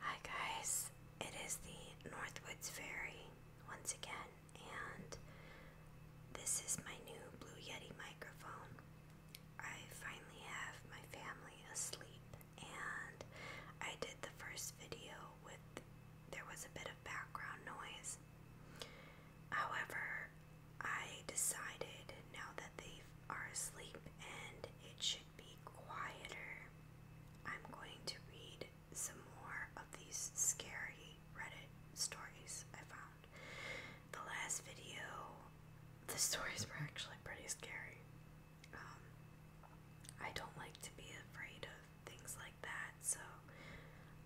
Hi guys, it is the Northwoods Fairy once again, and this is my new Blue Yeti microphone. I finally have my family asleep, and I did the first video with there was a bit of background noise. However, I decided now that they are asleep and it should be quieter, I'm going to read some more of these scary Reddit stories I found. The last video, the stories were actually pretty scary. Um, I don't like to be afraid of things like that. So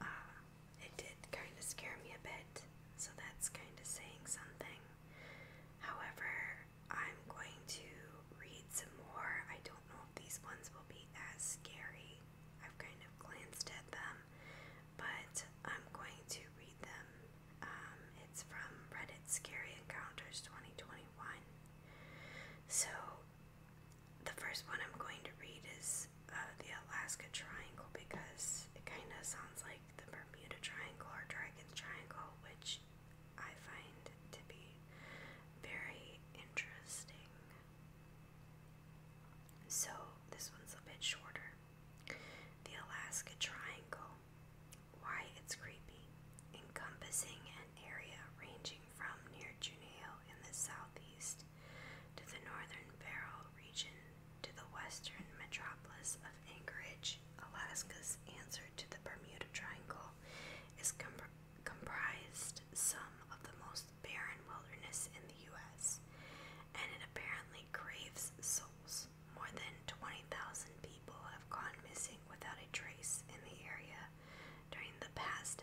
uh, it did kind of scare me a bit. So that's kind of saying something. However, I'm going to read some more. I don't know if these ones will be as scary. I've kind of glanced at them, but I'm going to read them. Um, it's from Reddit Scary Encounters 2021. So the first one I'm going to read is uh, the Alaska Triangle because it kind of sounds like the Bermuda Triangle or Dragon's Triangle, which I find to be very interesting. So, this one's a bit shorter. The Alaska Triangle. Why it's creepy. Encompassing an area ranging from near Juneau in the southeast to the northern Barrel region to the western metropolis of Anchorage, Alaska's answer to the Bermuda Triangle is comprised some of the most barren wilderness in the U.S., and it apparently craves souls. More than 20,000 people have gone missing without a trace in the area during the past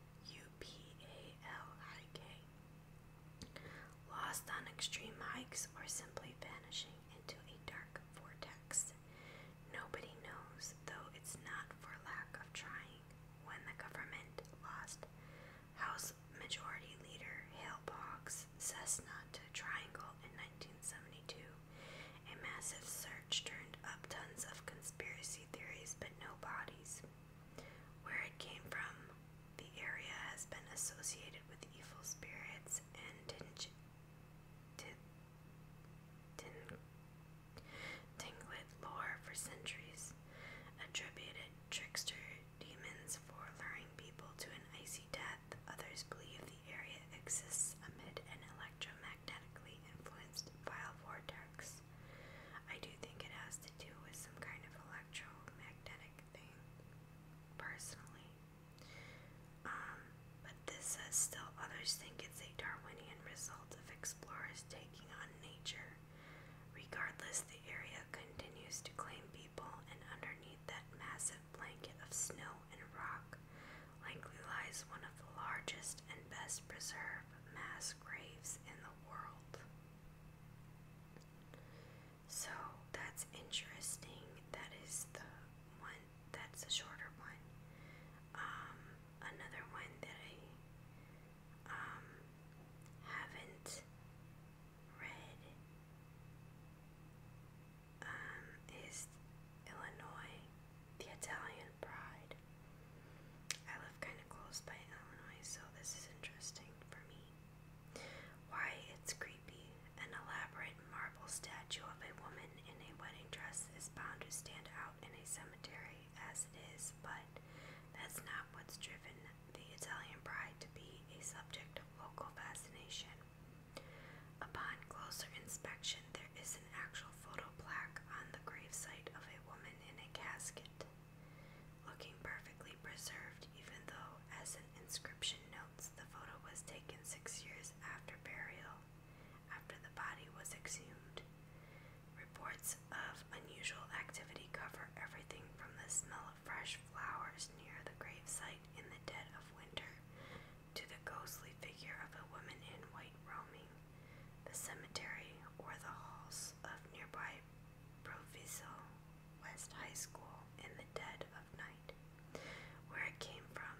U P A L I K. Lost on extreme hikes or simply vanishing into a dark vortex. Nobody knows, though it's not for lack of trying, when the government lost House Majority Leader Hale Boggs' Cessna to Triangle in 1972. A massive search turned up tons of conspiracy theories, but no bodies. Where it came from, the area has been associated with evil spirits and tinglet lore for centuries, attributed trickster demons for luring people to an icy death. Others believe the area exists amid an electromagnetically influenced vile vortex. I do think it has to do with some kind of electromagnetic thing, personally. Um, but this says still others think it's a Darwinian result of explorers taking on nature. Regardless, the area continues to claim people, and underneath that massive blanket of snow and rock likely lies one of the largest and best preserved mass graves in the world. So that's interesting. That is the one that's a shorter one. Um, another one that I um, haven't read um, is Illinois, the Italian pride. I live kind of close by Illinois, so this is interesting for me. Why, it's creepy. An elaborate marble statue of a woman in a wedding dress is bound to stand out in a cemetery as it is, but that's not what's driven the Italian bride to be a subject of local fascination. Upon closer inspection, there is an actual photo plaque on the gravesite of a woman in a casket looking perfectly preserved, even though, as an inscription notes, the photo was taken six years after burial, after the body was exhumed. Reports of unusual activity cover everything from the smell of fresh flowers near the gravesite in the dead of winter to the ghostly figure of a woman in white roaming the cemetery, or the halls of nearby Proviso West High School in the dead of night, where it came from.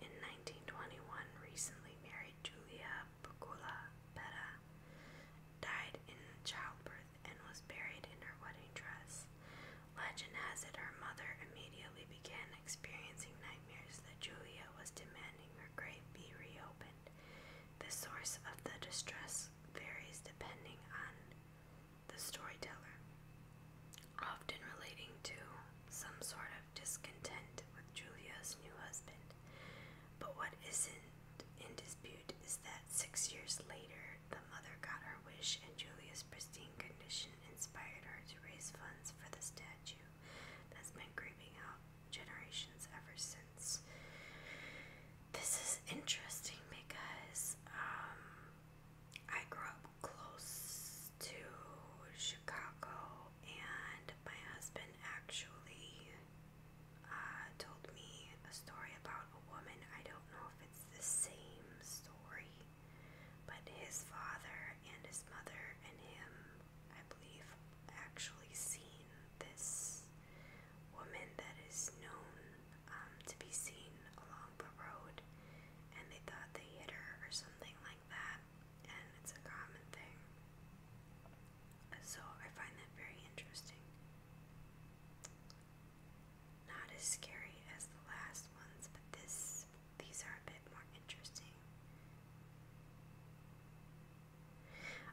In 1921, recently married Julia Pacula Petta died in childbirth and was buried in her wedding dress. Legend has it her mother immediately began experiencing nightmares that Julia was demanding her grave be reopened. The source of the distress varies depending on the storyteller, often relating to some sort of discontent with Julia's new husband. But what isn't in dispute is that six years later, the mother got her wish, and Julia's pristine condition inspired her to raise funds for the statue that's been creeping out generations ever since. This is interesting because um, I grew up close to Chicago, and my husband actually uh, told me a story about a woman. I don't know if it's the same story, but his father and his mother and him, I believe, actually seen this woman that is known um, to be seen along the road, and they thought they hit her or something like that, and it's a common thing. So I find that very interesting. Not as scary as the last ones, but this these are a bit more interesting.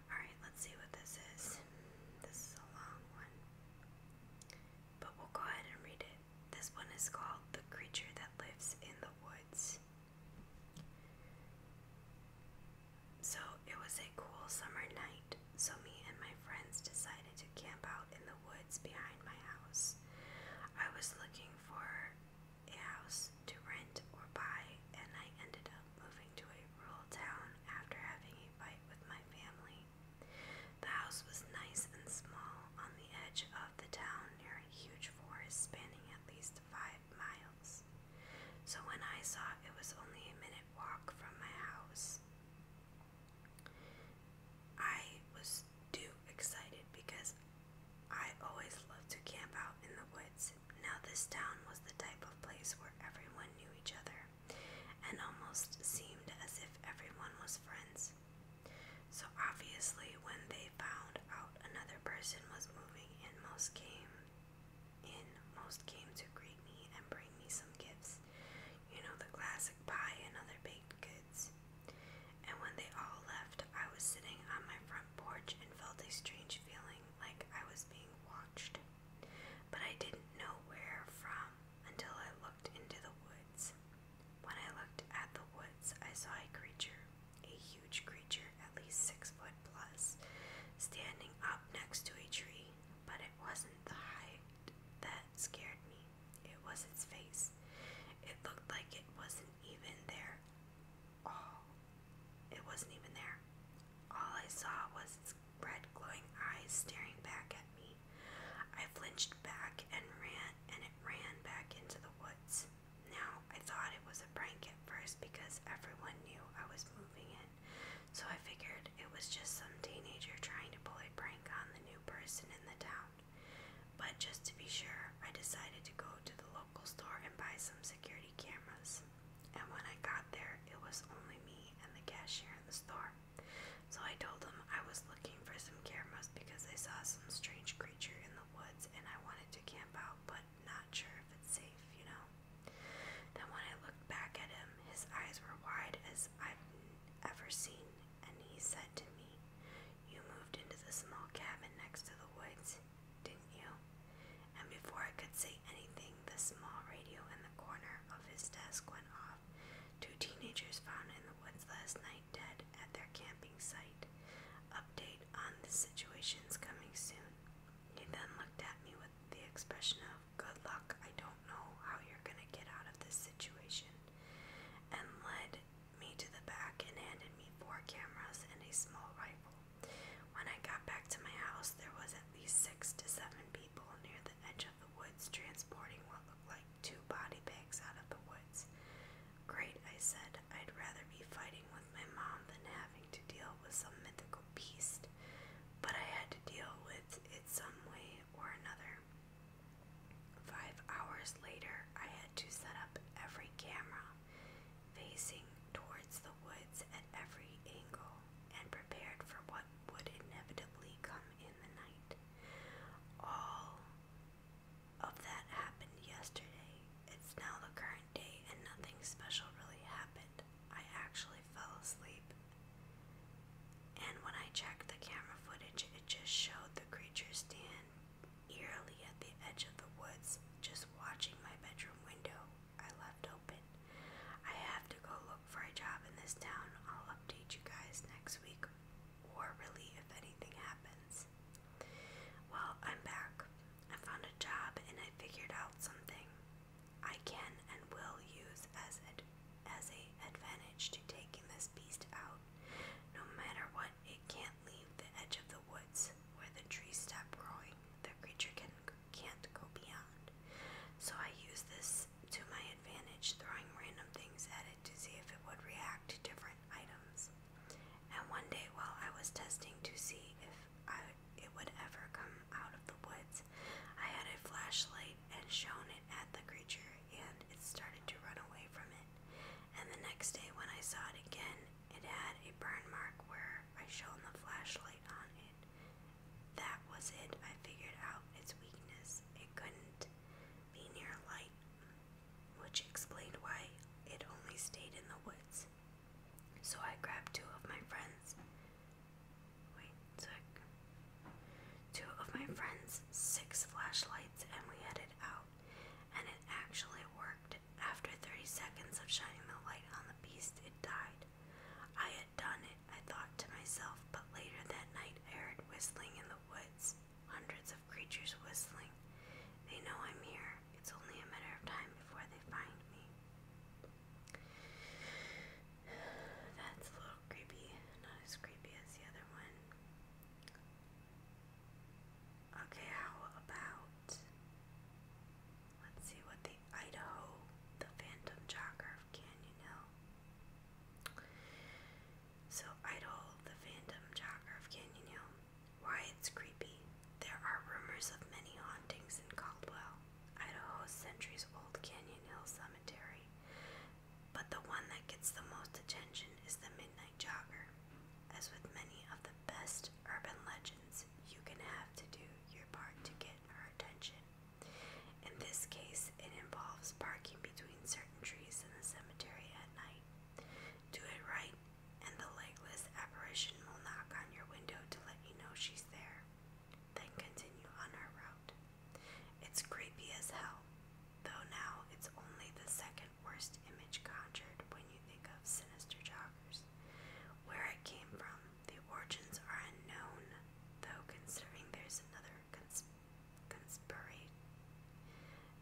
Alright, let's see what this is. This is a long one. But we'll go ahead and read it. This one is called The Creature That Lives in the Woods. So it was a cool summer night, so me and my friends decided to camp out in the woods behind my house. I was looking for a house to rent or buy, and I ended up moving to a rural town after having a fight with my family. The house was nice and small on the edge of the town near a huge forest spanning at least five miles. So when I saw it was only a minute walk from my house, I was too excited because I always loved to camp out in the woods now, this town was the type of place where everyone knew each other, and almost seemed as if everyone was friends. So, obviously, when they found out another person was moving in, most came in, most came to greet me and bring me some gifts. You know, the classic pie and other baked goods. And when they all left, I was sitting on my front porch and felt a strange feeling like I was being watched but I didn't know where from until I looked into the woods. When I looked at the woods, I saw a creature, a huge creature, at least six foot plus, standing up next to a tree, but it wasn't the height that scared me, it was its face. It looked like it wasn't even there. Oh, it wasn't even there. All I saw was its red glowing eyes staring back at me. I flinched back and ran, and it ran back into the woods. Now, I thought it was a prank at first because everyone knew I was moving in, so I figured it was just some teenager trying to pull a prank on the new person in the town. But just to be sure, I decided to go to the local store and buy some security cameras. And when I got there, it was only me and the cashier in the store. So I told him I was looking for some cameras because I saw some strange creature in the woods and I wanted to camp out, but not sure if it's safe, you know. Then when I looked back at him, his eyes were wide as I've ever seen, and he said to me, You moved into the small cabin next to the woods didn't you? And before I could say anything, the small radio in the corner of his desk went off. Two teenagers found in the woods last night dead at their camping site. Update on the situation's coming soon. He then looked at me with the expression of, Good luck, I don't know how you're gonna get out of this situation, and led me to the back and handed me four cameras and a small rifle. When I got back to my house, there was at least six to seven people near the edge of the woods transporting what looked like two body bags out of the woods. Great, I said. I'd rather be fighting with my mom than having to deal with some mythical beast. But I had to deal with it some way or another. Five hours later, I had to set up every camera facing towards the woods at every angle, and prepared for what would inevitably come in the night. All of that happened yesterday. It's now the current day, and nothing special really happened. I actually fell asleep. And when I checked the camera footage, it just showed the creature stand eerily at the edge of the woods, just watching my bedroom window I left open. I have to go look for a job in this town. I'll update you guys next week or really if anything happens. Well, I'm back. I found a job and I figured out something I can and will use as ad as a advantage to taking this beast out. No matter what, it can't leave the edge of the woods where the trees stop growing. The creature can not can't go beyond. So I used this to my advantage, throwing random things at it to see if it would react to different items. And one day, while I was testing to see if I, it would ever come out of the woods, I had a flashlight and shone it at the creature, and it started to run away from it. And the next day, when I saw it again, it had a burn mark where I shone the flashlight on it, that was it. I figured out its weakness. It couldn't be near light, which explained why it only stayed in the woods. So I grabbed two of my friends. Wait, two of my friends, six flashlights, and we headed out. And it actually worked. After 30 seconds of shining the light on the beast, it died. I had done it, I thought to myself, but later that night I heard whistling in the woods, hundreds of creatures whistling. They know I'm here. It's only a matter of time before they find me. That's a little creepy, not as creepy as the other one. Okay, how about Let's see what the Idaho, the Phantom Jogger of Canyon Hill. So, Idaho, the Phantom Jogger of Canyon Hill. Why it's creepy. There are rumors of many hauntings in Caldwell, Idaho's centuries old Canyon Hill Cemetery. But the one that gets the most attention is the Midnight Jogger. As with many of the best urban legends, you can have to do your part to get her attention. In this case, it involves parking between certain trees in the cemetery at night. Do it right, and the legless apparition will knock on your window to let you know she's there. Then continue on her route. It's creepy as hell, though now it's only the second worst image conjured when you think of sinister joggers. Where it came from, the origins are unknown, though considering there's another cons conspira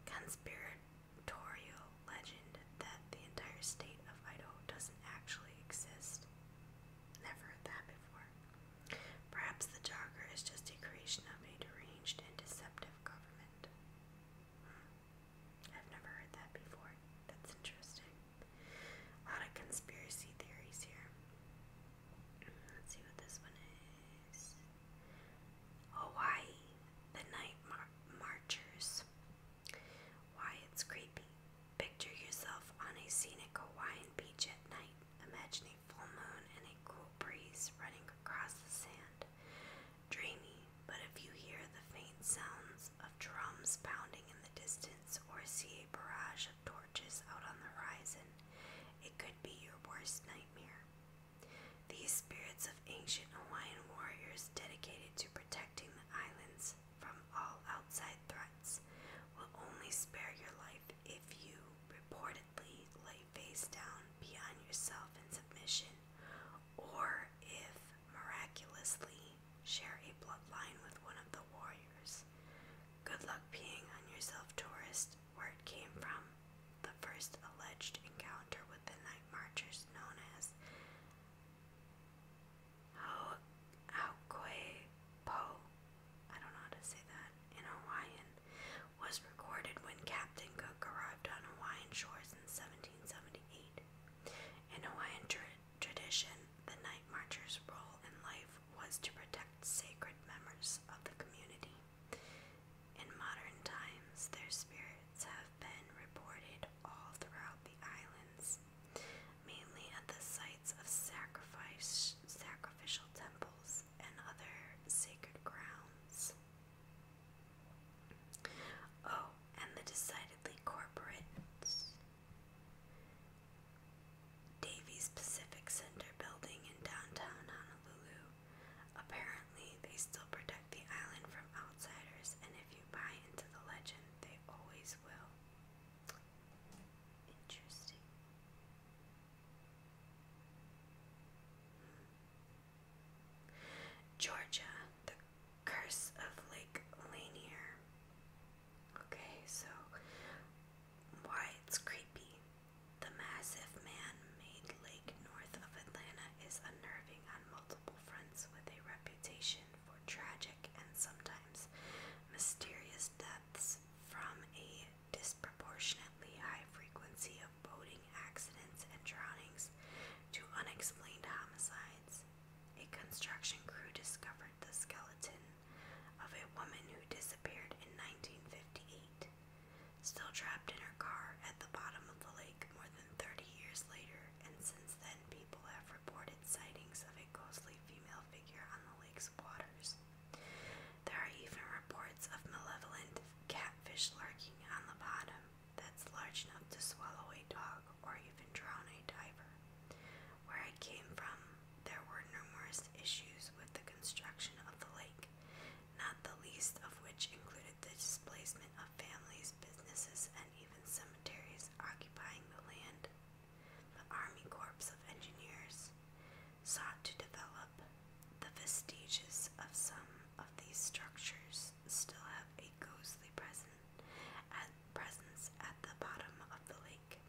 conspiratorial legend that the entire state of Idaho doesn't actually exist. Never heard that before. Perhaps the jogger is just a creation of a deranged and deceptive government. Hmm. I've never heard that before. That's interesting. A lot of conspiracy theories here. Let's see what this one is. Hawaii, the night marchers. Why it's creepy. Picture yourself on a scenic Hawaiian beach at night, imagining full moon and a cool breeze running across the sand. Dreamy, but if you hear the faint sounds of drums pounding in the distance or see a barrage of torches out on the horizon, it could be your worst nightmare. These spirits of ancient Hawaiian warriors dedicated to protecting the islands from all outside threats will only spare your life if you reportedly lay face down beyond yourself in submission or if miraculously share a bloodline with one of the warriors. Good luck peeing on yourself, tourist. Where it came from, the first alleged encounter with the night marchers known as Ho Po, I don't know how to say that, in Hawaiian, was recorded when Captain Cook arrived on Hawaiian shores in 1778. An Hawaiian tra tradition, the night marcher's role in life was to protect sacred members of the community. In modern times, their spirits have been reported all throughout the islands, mainly at the sites of sacrifice, sacrificial temples, and other sacred grounds. Oh, and the decidedly corporate Davies Pacific Center building in downtown Honolulu. Apparently, they still protect the island from outsiders, and if you buy into the legend, they always will. Interesting. Hmm. Georgia, the curse of Lake Lanier. Okay, so why it's creepy. The massive man made lake north of Atlanta is unnerving on multiple fronts with a reputation for tragic and sometimes mysterious depths. from a disproportionately high frequency of boating accidents and drownings to unexplained homicides. A construction crew discovered the skeleton of a woman who disappeared in 1958, still trapped in her car at the bottom of the lake more than 30 years later, and since then people have reported sightings of a ghostly female figure on the lake's waters. There are even reports of malevolent catfish lurking on the bottom that's large enough to swallow a dog or even drown a diver. Where I came from, there were numerous issues with the construction of the lake, not the least of which included the displacement of families, businesses, and even cemeteries occupying the land. The Army Corps of Engineers sought to develop the vestiges of some of these structures still have a ghostly present at presence at the bottom of the lake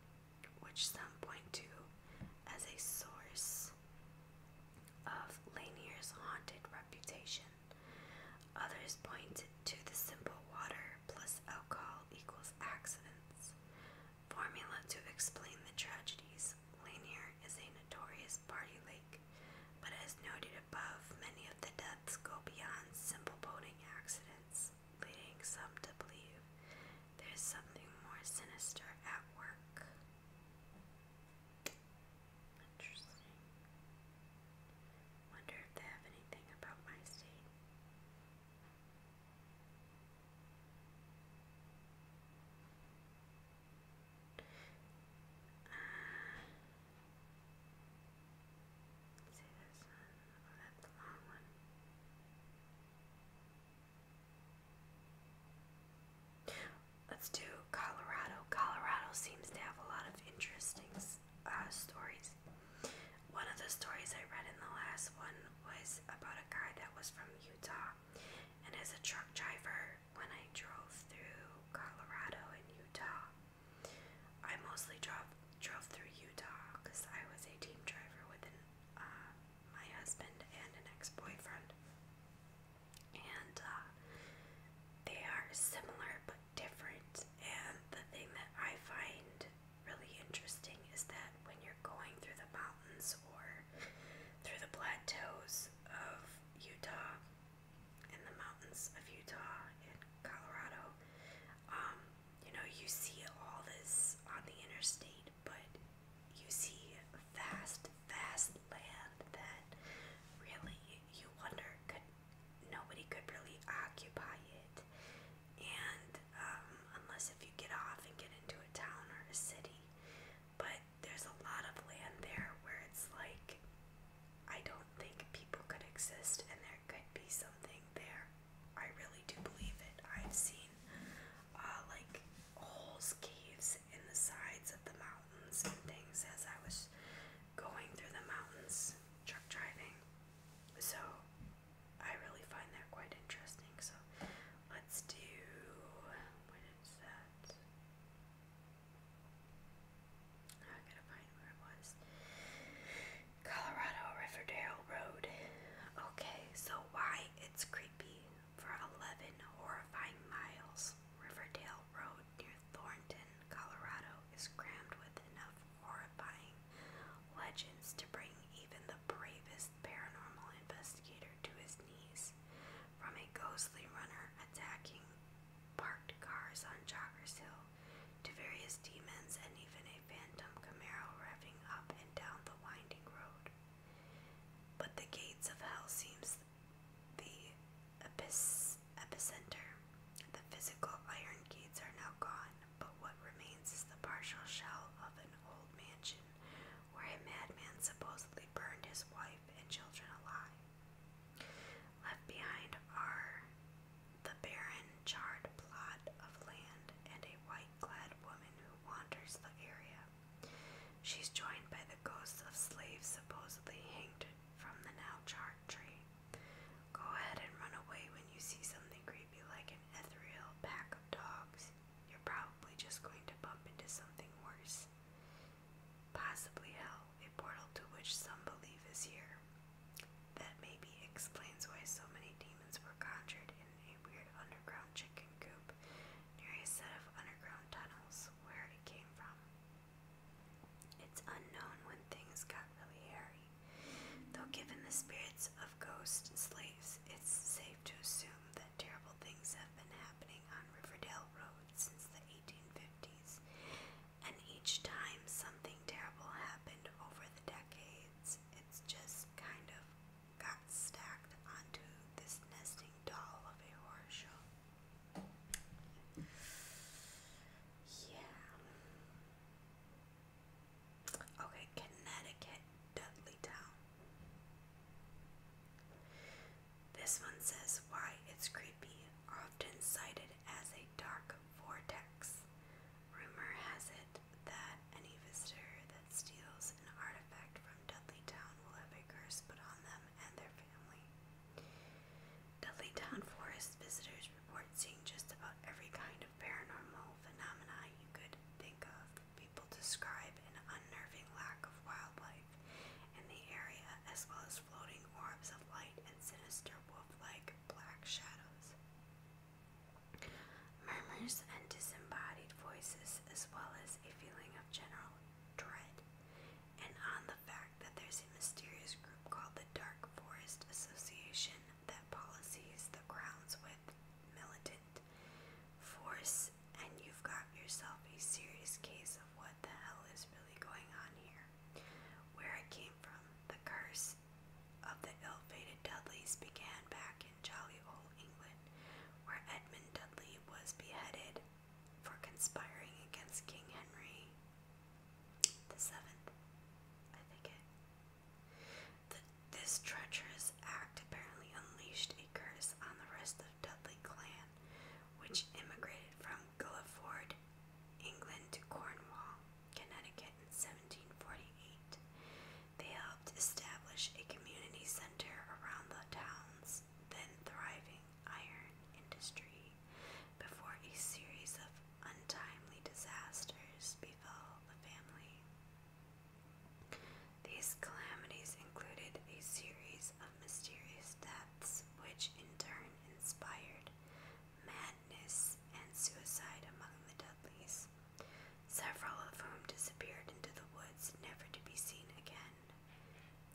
which some point to as a source of Lanier's haunted reputation. Others point to the simple water plus alcohol equals accidents formula to explain the tragedies. Lanier is a notorious party lake, but as noted above, many of the deaths go beyond simple boating accidents leading some to believe there's something more sinister at work. Interesting. Wonder if they have anything about my state. Uh, see this one. Let's do Colorado. Colorado seems to have a lot of interesting uh, stories. One of the stories I read in the last one was about a guy that was from Utah. And as a truck driver, when I drove through Colorado and Utah, I mostly drove drove through Utah because I was a team driver with an, uh, my husband and an ex-boyfriend. And uh, they are similar but different. And the thing that I find really interesting is that when you're going through the mountains or through the plateaus of Utah and the mountains of Utah and Colorado, um, you know, you see all this on the interstate, but you see vast, vast land that really you wonder could nobody could really occupy it. And um, unless if you get off and get into a town or a city, but there's a lot of land there where it's like I don't think people could exist, and there could be something there. I really do believe it. I've seen uh, like holes, caves in the sides of the mountains and things as I was going through the mountains truck driving. So I really find that quite interesting. So let's do what is that? I gotta find where it was. Colorado Riverdale Road. Okay, so why it's creepy for 11 horrifying miles. Riverdale Road near Thornton, Colorado is crammed with enough horrifying legends to bring even the bravest paranormal investigator to his knees. From a ghostly runner attacking parked cars on Joggers Hill to various demons and even a phantom Camaro revving up down the winding road. But the gates of hell seems the epicenter. The physical iron gates are now gone, but what remains is the partial shell of an old mansion where a madman supposedly burned his wife and children alive. Left behind are the barren, charred plot of land, and a white-clad woman who wanders the area. She's joined by the ghosts of slaves supposedly hanged from the now-charred tree. Go ahead and run away when you see something creepy like an ethereal pack of dogs. You're probably just going to bump into something worse. Possibly hell, a portal to which some believe is here. That maybe explains why so many demons were conjured a weird underground chicken coop near a set of underground tunnels where it came from. It's unknown when things got really hairy, though, given the spirits of ghosts and slaves, it's safe to assume that terrible things have been happening on Riverdale Road since the 1850s, and each time something terrible happened over the decades, it's just kind of got stacked onto this nesting doll of a horror show. Yeah. Okay, Connecticut, Dudley Town. This one says why it's creepy, often cited as a dark vortex. Rumor has it that any visitor that steals an artifact from Dudley Town will have a curse put on them and their family. Dudley Town Forest visitors report seeing just about every kind of paranormal phenomena you could think of. People describe an unnerving lack of wildlife in the area, as well as floating orbs of light and sinister wolf like black shadows. Murmurs and disembodied voices, as well as a feeling of general dread, and on the fact that there's a mysterious group called the Dark Forest Association that policies the grounds with militant force, and you've got yourself a serious case of what the hell is really going on here. Where it came from, the curse, of the ill-fated Dudleys began back in jolly old England, where Edmund Dudley was beheaded for conspiring against King Henry the Seventh, I think it. The, this treacherous act apparently unleashed a curse on the rest of Dudley clan, which immigrated from Guilford, England, to Cornwall, Connecticut. 1748. They helped establish a community center around the town's then thriving iron industry before a series of untimely disasters befell the family. These calamities included a series of mysterious deaths, which in turn inspired madness and suicide among the Dudleys several of whom disappeared into the woods, never to be seen again.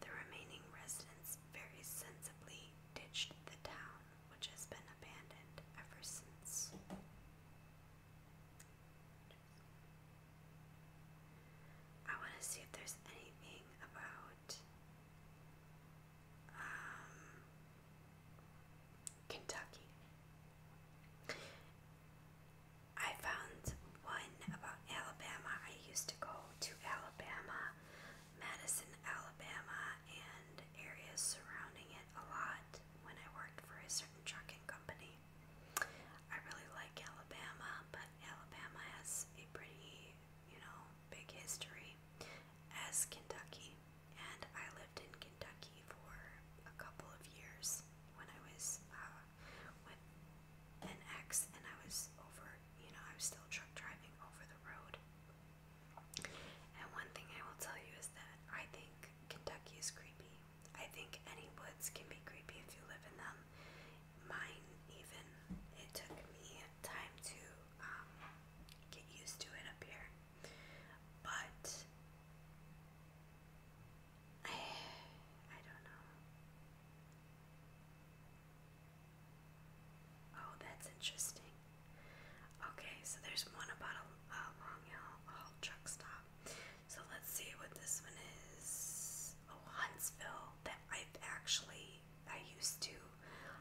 The remaining residents very sensibly ditched the town, which has been abandoned ever since. I want to see if there's anything about um, Kentucky. I found one about Alabama. I used to go to Alabama, Madison, Alabama, and areas surrounding it a lot when I worked for a certain trucking company. I really like Alabama, but Alabama has a pretty, you know, big history as Kentucky, and I lived in Kentucky for a couple of years when I was uh, with an ex, and I was over, you know, I was still truck driving over the road. And one thing I will tell you is that I think Kentucky is creepy. I think any woods can be creepy if you live in them. Mine, even, it took me time to um, get used to it up here. But I, I don't know. Oh, that's interesting. Okay, so there's one about a, a truck stop. So let's see what this one is. Oh, Huntsville. That I've actually I used to.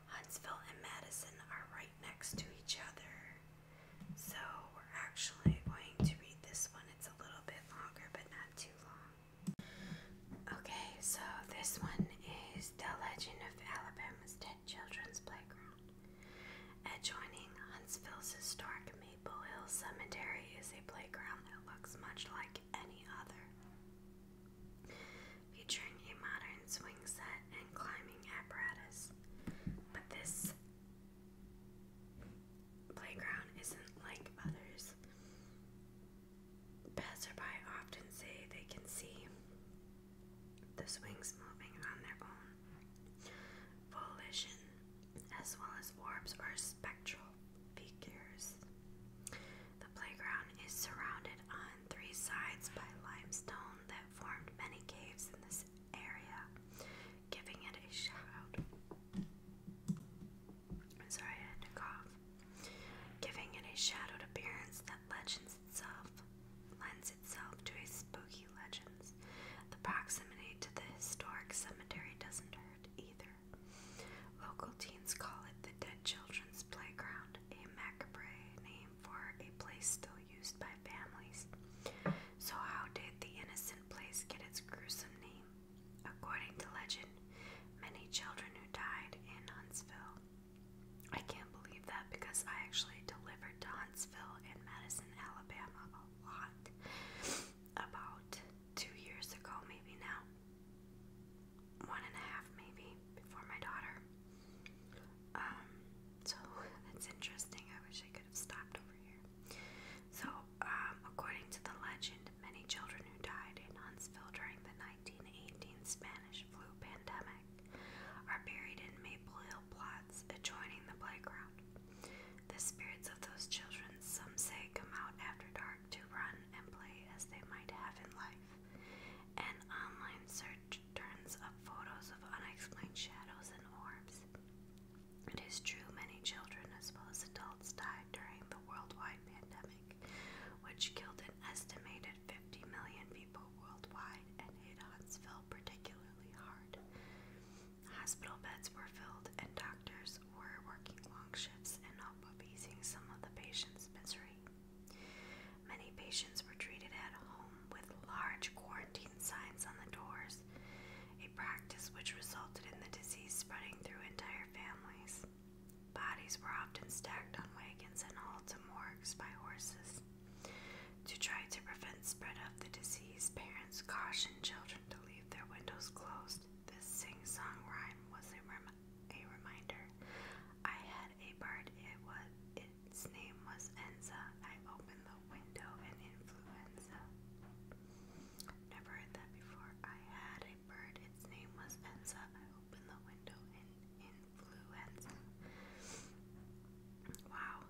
Huntsville and Madison are right next to each other. So we're actually going to read this one. It's a little bit longer, but not too long. Okay, so this one is The Legend of Alabama's Dead Children's Playground. Adjoining Huntsville's historic Maple Hill Cemetery is a playground that looks much like any other. Featuring a modern swing set and climbing apparatus. But this playground isn't like others. Passerby often say they can see the swings moving on their own volition, as well as orbs or spectral figures. The playground is surrounded on three sides by limestone that formed many caves in this area, giving it a shout. Sorry, I had to cough. Giving it a shadowed appearance that legends itself lends itself to a spooky legends. The proximity to the historic cemetery doesn't hurt either. Local teens call it the Dead Children's Playground, a macabre name for a place still used by families. So, how did the innocent place get its gruesome name. According to legend, many children who died in Huntsville. I can't believe that because I actually delivered to Huntsville in Madison, Alabama a lot. About two years ago, maybe now. One and a half, maybe, before my daughter. Um, so that's interesting. I wish I stopped over here. So, um, according to the legend, many children who died in Huntsville during the 1918 Spanish flu pandemic are buried in Maple Hill plots adjoining the playground. The spirits of those children, some say, come out after dark to run and play as they might have in life. An online search turns up photos of unexplained shadows and orbs. It is true many children as well as adults died during the worldwide pandemic, which killed an estimated 50 million people worldwide and hit Huntsville particularly hard. Hospital beds were filled and doctors were working long shifts and not appeasing some of the patients' misery. Many patients were treated at home with large quarantine Latin signs on the doors, a practice which resulted in the disease spreading through entire families. Bodies were often stacked on wagons and hauled to morgues by horses. To try to prevent spread of the disease, parents cautioned children to leave their windows closed. This sing-song rhyme was a, rem a reminder. I had a bird. It was its name was Enza. I opened the window and influenza Never heard that before. I had a bird, its name was Enza. I opened the window and in flew Enza. Wow.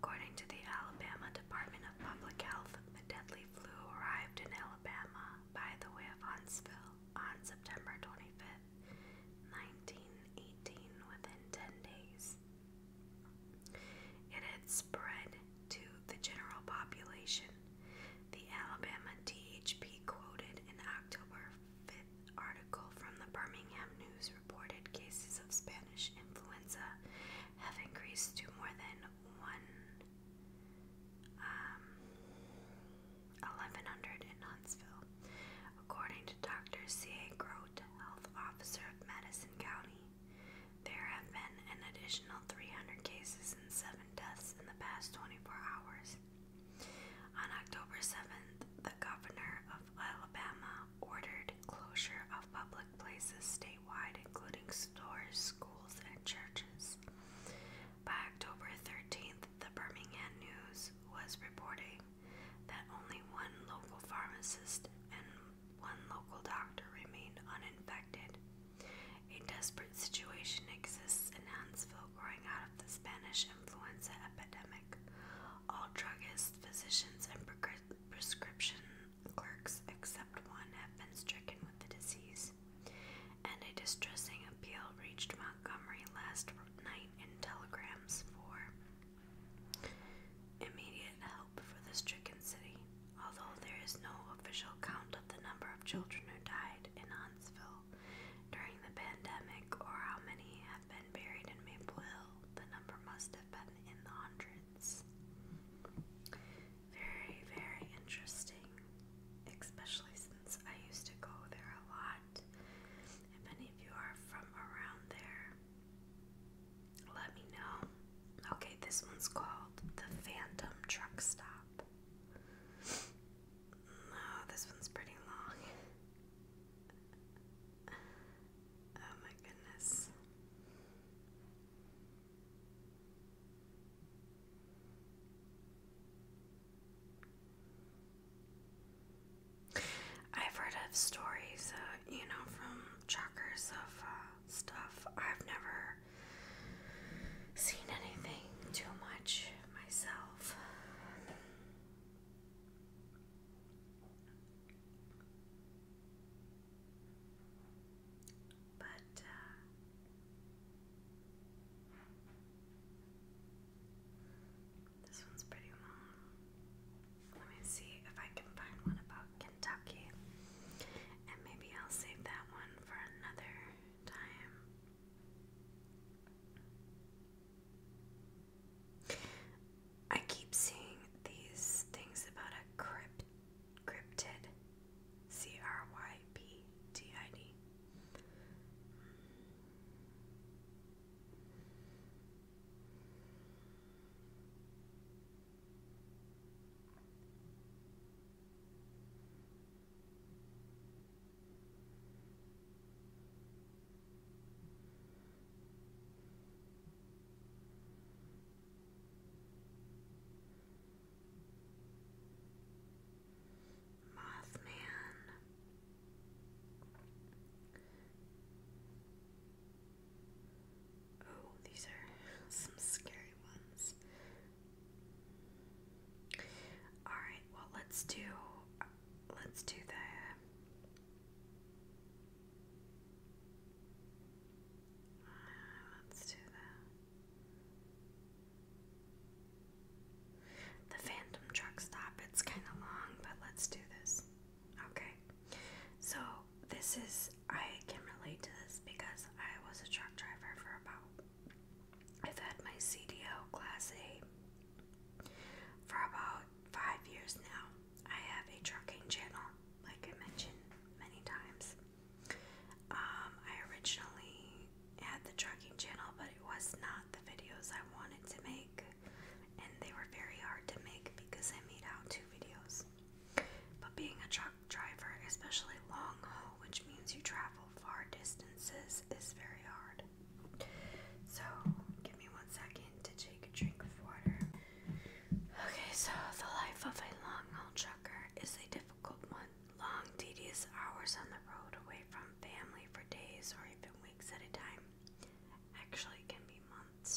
According to the Alabama Department of Public Health, the deadly flu arrived in Alabama by the way of Huntsville on September 25th, 1918, within 10 days. It had spread to the general population. The Alabama DHP quoted an October 5th article from the Birmingham News reported cases of Spanish influenza have increased to more than 1100 um, in Huntsville. According to Dr. C. A. Grote, health officer of Madison County, there have been an additional 300 cases and 7 deaths in the past 24 hours. On October 7th, the governor of Alabama ordered closure of public places statewide, including stores, schools, and churches. By October 13th, the Birmingham News was reporting that only one local pharmacist and one local doctor remained uninfected. A desperate situation exists in Huntsville growing out of the Spanish influenza epidemic. All druggists, physicians, and prescription clerks except one have been stricken with the disease. And a distressing appeal reached Montgomery last night in telegrams for Immediate help for the stricken city, although there is no official count of the number of children who died in Huntsville during the pandemic or how many have been buried in Maple Hill, the number must have been in the hundreds. Very, very interesting, especially since I used to go there a lot. If any of you are from around there, let me know. Okay, this one's called The Phantom Truck Stop. Oh, this one's pretty long. oh my goodness. I've heard of stories, uh, you know, from truckers of uh, stuff. I've never seen anything too much myself. But, uh, this one's pretty long. Let me see if I can find one about Kentucky. And maybe I'll save that one for another time. I keep seeing these things about a crypt, cryptid. C R Y P T I D. Mothman. Oh, these are some scary ones. Alright, well let's do let's do the let's do the the Phantom Truck Stop. It's kinda long, but let's do this. Okay, so this is, I can relate to this because I was a truck driver for about, I've had my CDL Class A for about five years now. I have a trucking channel, like I mentioned many times. Um, I originally had the trucking channel, but it was not the videos I wanted to make, and they were very hard to make because I made out two videos. But being a truck driver, especially long haul, which means you travel far distances, is very hard. So, give me one second to take a drink of water. Okay, so the life of a long haul trucker is a difficult one. Long, tedious hours on the road away from family for days or even weeks at a time. Actually, can be months lot,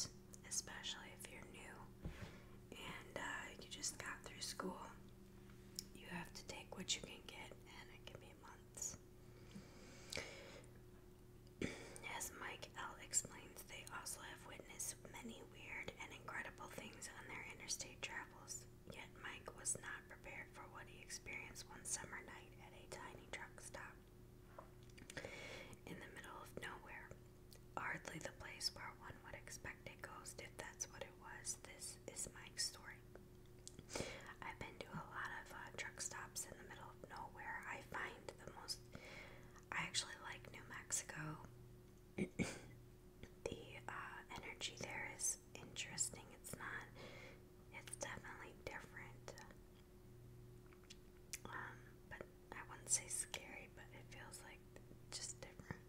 especially if you're new and uh, you just got through school. You have to take what you can get, and it can be months. As Mike L. explains, they also have witnessed many weird and incredible things on their interstate travels. Yet Mike was not prepared for what he experienced one summer night at a tiny truck stop in the middle of nowhere. Hardly the place where one would expect a ghost if that's what it was. This is my story. I've been to a lot of uh, truck stops in the middle of nowhere. I find the most. I actually like New Mexico. the uh, energy there is interesting. It's not. It's definitely different. Um, but I wouldn't say scary, but it feels like just different.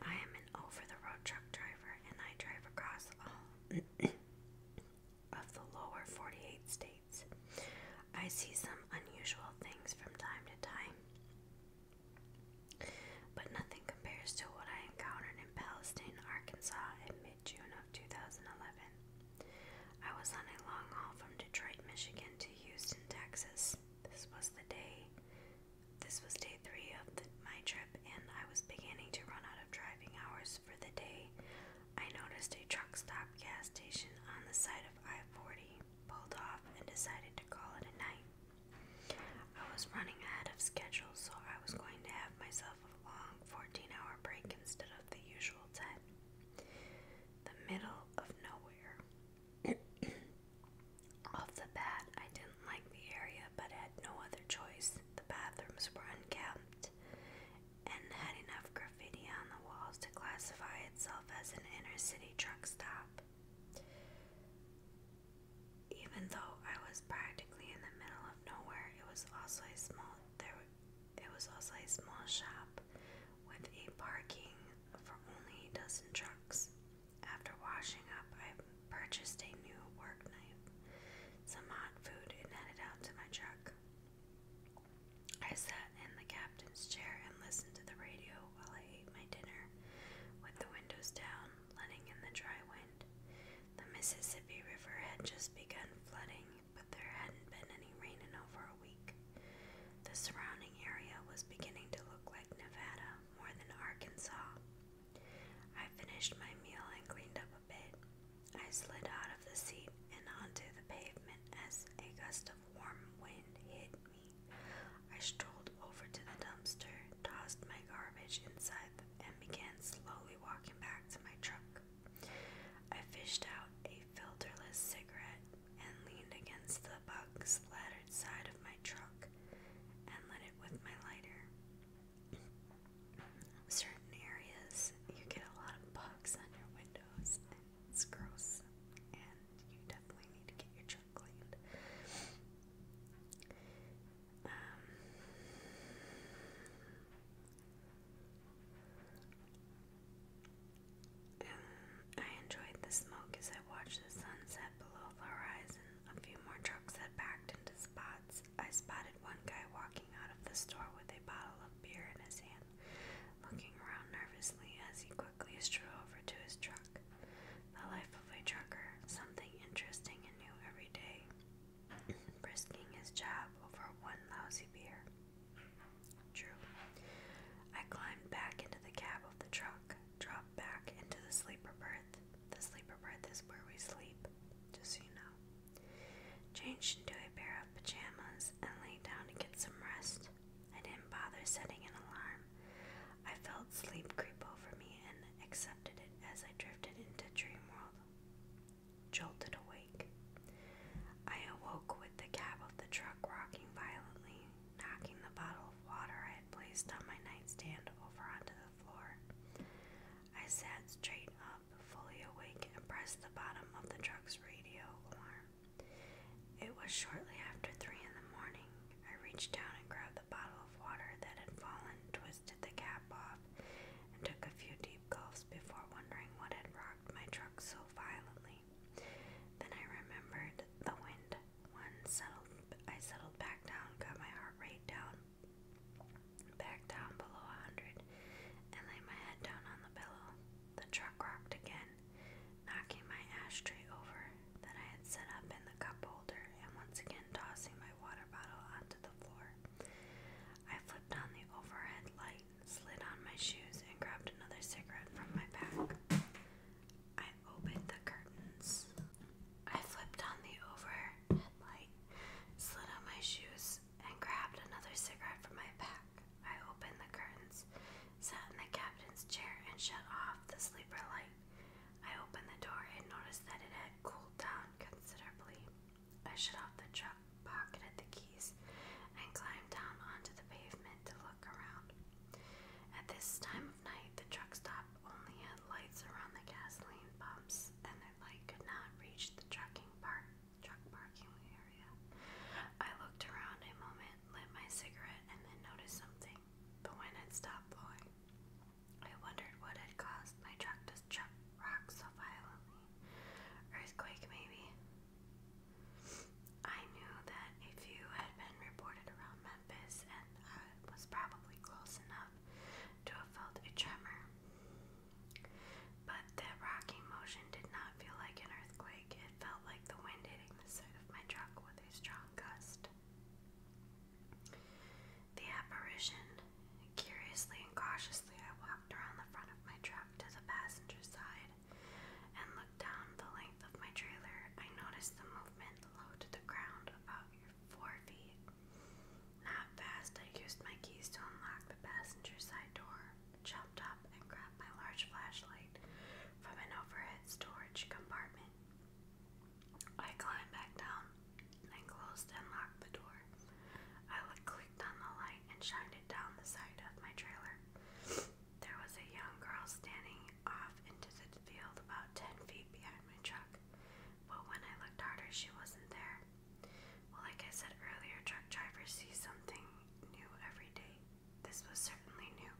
I am an over the road truck driver and I drive across all of the lower 48 states. I see some unusual things from time to time. But nothing compares to what I encountered in Palestine, Arkansas in mid June of 2011. I was on a long haul from Detroit, Michigan to Houston, Texas. This was the day this was day three of the, my trip, and I was beginning to run out of driving hours for the day. I noticed a truck stop gas station on the side of I 40, pulled off, and decided to call it a night. I was running ahead of schedule, so I was going to have myself a long 14 hour break instead of the usual 10. The middle of nowhere. Off the bat, I didn't like the area, but had no other choice. The bathrooms were unkempt and had enough graffiti on the walls to classify itself as an inner city truck stop. Even though I was practically in the middle of nowhere, it was also small there it was also a small shop with a parking for only a dozen trucks. After washing up, I purchased a new work knife, some hot food, and headed out to my truck. I sat in the captain's chair and listened to the radio while I ate my dinner, with the windows down, letting in the dry wind. The Mississippi River had just begun flooding, but there hadn't been any rain in over a week. The surrounding area was beginning to look like Nevada more than Arkansas. I finished my meal and cleaned up a bit. I slid out of the seat and onto the pavement as a gust of warm wind hit me. I strolled over to the dumpster, tossed my garbage inside, and began slowly walking back to my truck. I fished out a filterless cigarette and leaned against the bug splattered side of my truck and lit it with my lighter. Certain areas you get a lot of bugs on your windows, and it's gross, and you definitely need to get your truck cleaned. Um, um, I enjoyed the smoke as I watched the sunset below the horizon. A few more trucks had backed into spots. I spotted one guy walking out of the store with a bottle of beer in his hand, looking around nervously as he quickly strode over to his truck. The life of a trucker, something interesting and new every day. Risking his job over one lousy beer. True. I climbed back into the cab of the truck, dropped back into the sleeper berth. The sleeper berth is where we sleep, just so you know. Changed into a pair of pajamas and lay down to get some rest. I didn't bother setting an alarm. I felt sleep creep over me and accepted it as I drifted into dream world. Jolted awake. I awoke with the cab of the truck rocking violently, knocking the bottle of water I had placed on my nightstand over onto the floor. I sat straight up, fully awake, and pressed the bottom of the truck's radio alarm. It was shortly after three in the morning. I reached down and grabbed the bottle of water that had fallen, twisted the cap off, and took a few deep gulps before wondering what had rocked my truck so violently. Then I remembered the wind. One settled. I settled back down, got my heart rate down, back down below a hundred, and laid my head down on the pillow. The truck rocked again, knocking my ashtray over that I had set up in the cup holder, and once again tossing my water bottle onto the floor. I flipped on the overhead light slid on my shoes, and grabbed another cigarette from my pack. I opened the curtains. I flipped on the overhead light, slid on my shoes, and grabbed another cigarette from my pack. I opened the curtains, sat in the captain's chair, and shut off the sleeper light. I opened the door and noticed that it had cooled down considerably. I shut off the truck, pocketed the keys, and climbed down onto the pavement to look around. At this time of night, the truck stop only had lights around the gasoline pumps, and their light could not reach the trucking park, truck parking area. I looked around a moment, lit my cigarette, and then noticed something. But when it stopped blowing. I wondered what had caused my truck to chuck rock so violently. Earthquake, maybe. I knew that a few had been reported around Memphis, and I was probably close enough to have felt a tremor. But that rocking motion did not feel like an earthquake, it felt like the wind hitting the side of my truck with a strong gust. The apparition. Curiously and cautiously, I walked around the front of my truck to the passenger side and looked down the length of my trailer, I noticed the movement low to the ground, about four feet. Not fast, I used my keys to unlock the passenger side door, jumped up, and grabbed my large flashlight from an overhead storage compartment. I climbed back down and closed and locked the door. I clicked on the light and shined it down the side of my trailer. There was a young girl standing off into the field about ten feet behind my truck, but when I looked harder, she wasn't there. Well, like I said earlier, truck drivers see something new every day. This was certainly new.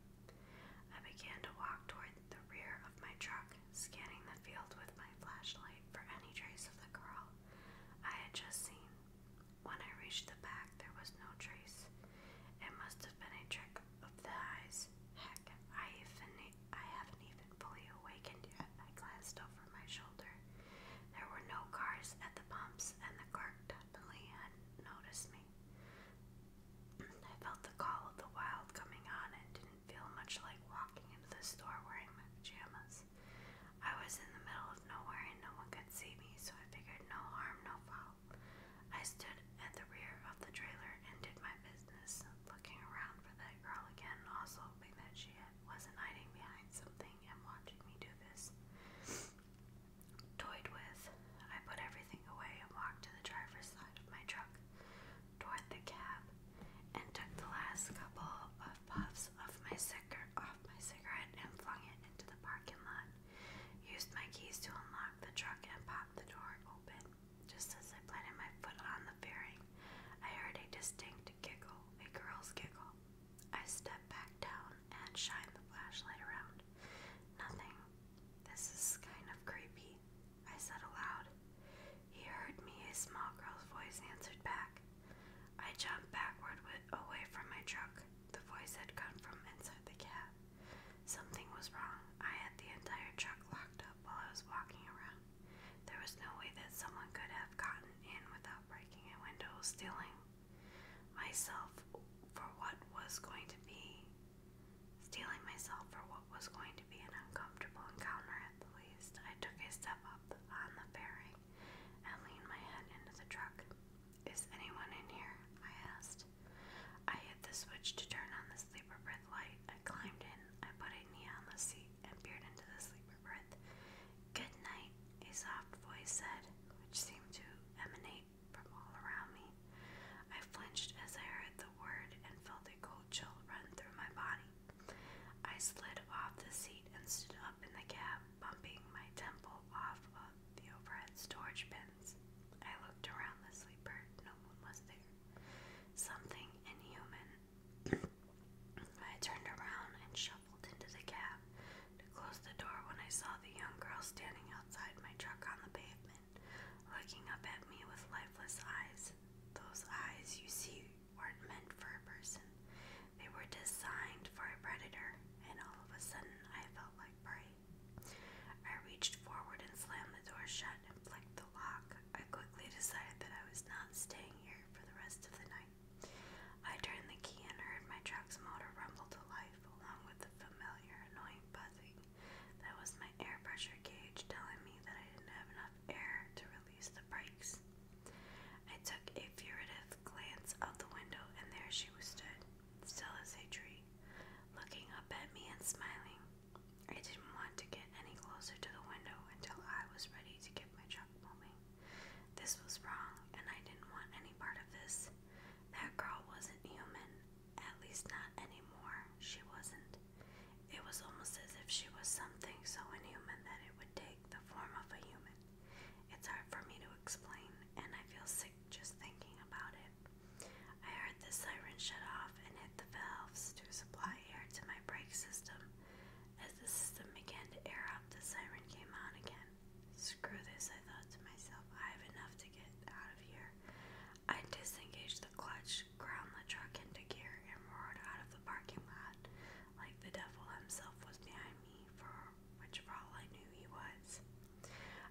I began to walk toward the rear of my truck, scanning the field with my flashlight for any trace of the girl I had just seen. When I reached the back, there was no trace. It must have been a trick of the eyes. Heck, I, even, I haven't even fully awakened yet. I glanced over my shoulder. There were no cars at the pumps, and the clerk definitely hadn't noticed me. I felt the call of the wild coming on and didn't feel much like walking into the store wearing my pajamas. I was in the middle of nowhere and no one could see me, so I figured no harm, no foul. I stood at the rear of the trailer and did my business, looking around for that girl again, also hoping that she wasn't hiding behind something and watching me do this. Toyed with, I put everything away and walked to the driver's side of my truck toward the cab and took the last couple of puffs of my cigar off my cigarette and flung it into the parking lot. Used my keys to unlock the truck and pop the door open. Just as I planted my foot on the fairing, I heard a distinct giggle, a girl's giggle. I stepped back down and shined the flashlight around. Nothing. This is kind of creepy, I said aloud. He heard me, a small girl's voice answered back. I jumped backward away from my truck. The voice had come from inside the cab. Something was wrong. I had the entire truck locked up while I was walking around. There was no way that someone could have gotten in without breaking a window, stealing myself for what was going to be stealing myself for what was going to be an uncomfortable encounter at the least. I took a step up on the fairing and leaned my head into the truck. Is anyone in here? I asked. I hit the switch to turn on the sleeper breath light. I climbed in. I put a knee on the seat and peered into the sleeper breath. Good night, a soft voice said, which seemed to emanate from all around me. I flinched as I heard the word and felt a cold chill run through my body. I slid off the seat and stood up in the cab, bumping my temple off of out the overhead storage bins. I looked around the sleeper. No one was there. Something inhuman. I turned around and shuffled into the cab to close the door when I saw the young girl standing outside my truck on the pavement, looking up at me with lifeless eyes. Those eyes you see weren't meant for a person. They were designed for a predator, and all of a sudden I felt like prey. I reached forward and slammed the door shut and flicked the lock. I quickly decided that I was not staying here for the rest of the night. I turned the key and heard my truck's motor rumble to life, along with the familiar annoying buzzing. That was my air pressure gauge telling me that I didn't have enough air to release the brakes. I took a furtive glance out the window, and there she was stood, still as a tree looking up at me and smiling. I didn't want to get any closer to the window until I was ready to get my truck moving. This was wrong, and I didn't want any part of this. That girl wasn't human, at least not anymore. She wasn't. It was almost as if she was something so inhuman that it would take the form of a human. It's hard for me to explain, and I feel sick just thinking about it. I heard the siren shut off and hit the valves to supply air to my brake system. As the system began to air up, the siren came on again. Screw this, I thought to myself. I have enough to get out of here. I disengaged the clutch, ground the truck into gear, and roared out of the parking lot like the devil himself was behind me, for which for all I knew he was.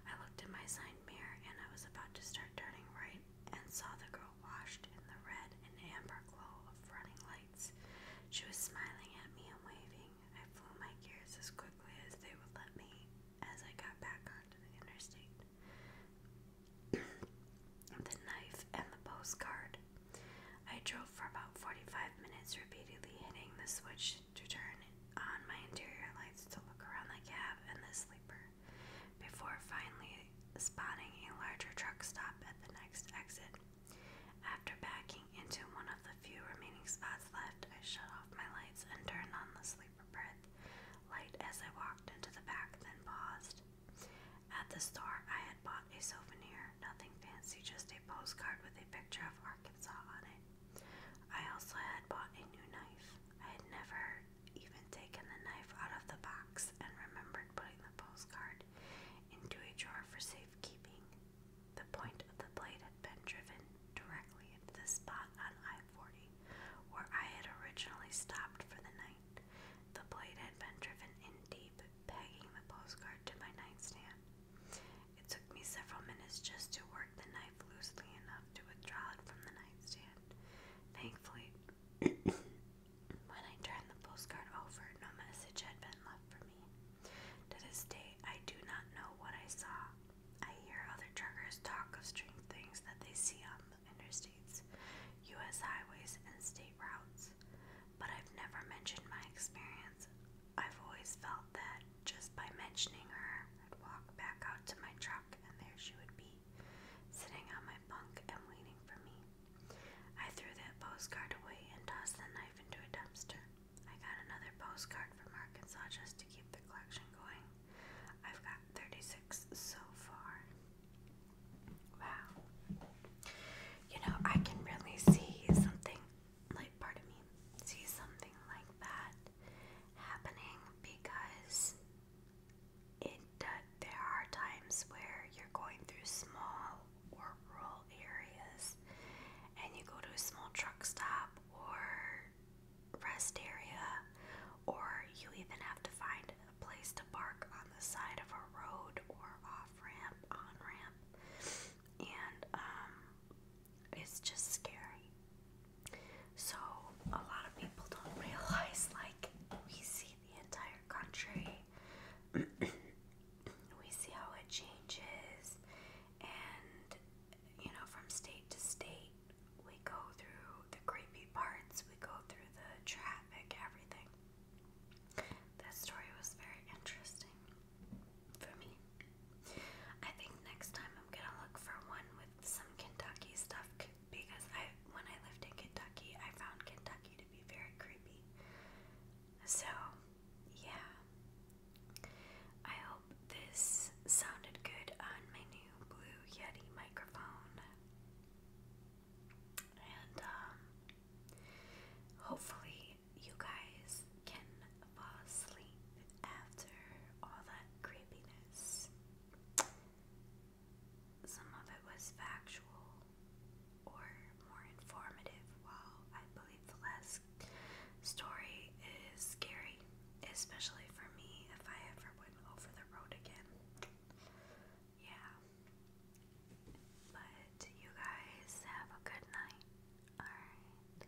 I looked in my side mirror and I was about to start turning right and saw the girl washed in the red and amber glow of running lights. She was smiling at me and waving. I flew my gears as quickly as they would let me as I got back onto the interstate. the knife and the postcard. I drove for about 45 minutes, repeatedly hitting the switch to turn on my interior lights to look around the cab and the sleeper before finally spotting a larger truck stop at the next exit. After backing into one of the few remaining spots left, I shut off my lights and turned on the sleeper berth light as I walked into the back, then paused. At the store, I had bought a souvenir, nothing fancy, just a postcard with a picture of Arkansas on it. I also had bought a new knife. I had never even taken the knife out of the box and remembered putting the postcard into a drawer for safekeeping. The point of the blade had been driven directly into the spot on I 40 where I had originally stopped for the night. The blade had been driven in deep, pegging the postcard to my nightstand. It took me several minutes just to work the knife loosely enough to withdraw it from the nightstand. Thankfully, when I turned the postcard over, no message had been left for me. To this day, I do not know what I saw. I hear other truckers talk of strange things that they see on the interstates, U.S. highways, and state routes, but I've never mentioned my experience. I've always felt that just by mentioning her, I'd walk back out to my truck and there she would be, sitting on my bunk and waiting for me. I threw that postcard away and tossed the knife into a dumpster. I got another postcard from Arkansas just to keep the collection going. I've got 36 so far. Wow. You know, I can really see something, like, pardon me, see something like that happening because it there are times where you're going through small rural areas and you go to a small truck stop or rest area or you even have to find a place to park on the side of a road or off ramp on ramp and um it's just scary. So, a lot of people don't realize like we see the entire country, we see how it changes, and you know, from state to state, we go through the creepy parts, we go through the traffic, everything. That story was very interesting for me. I think next time I'm gonna look for one with some Kentucky stuff because I, when I lived in Kentucky, I found Kentucky to be very creepy. So, yeah. I hope this sounded good on my new Blue Yeti microphone. And, um, hopefully, you guys can fall asleep after all that creepiness. Some of it was factual or more informative, while I believe the last story is scary, especially for me if I ever went over the road again. Yeah. But you guys have a good night. Alright.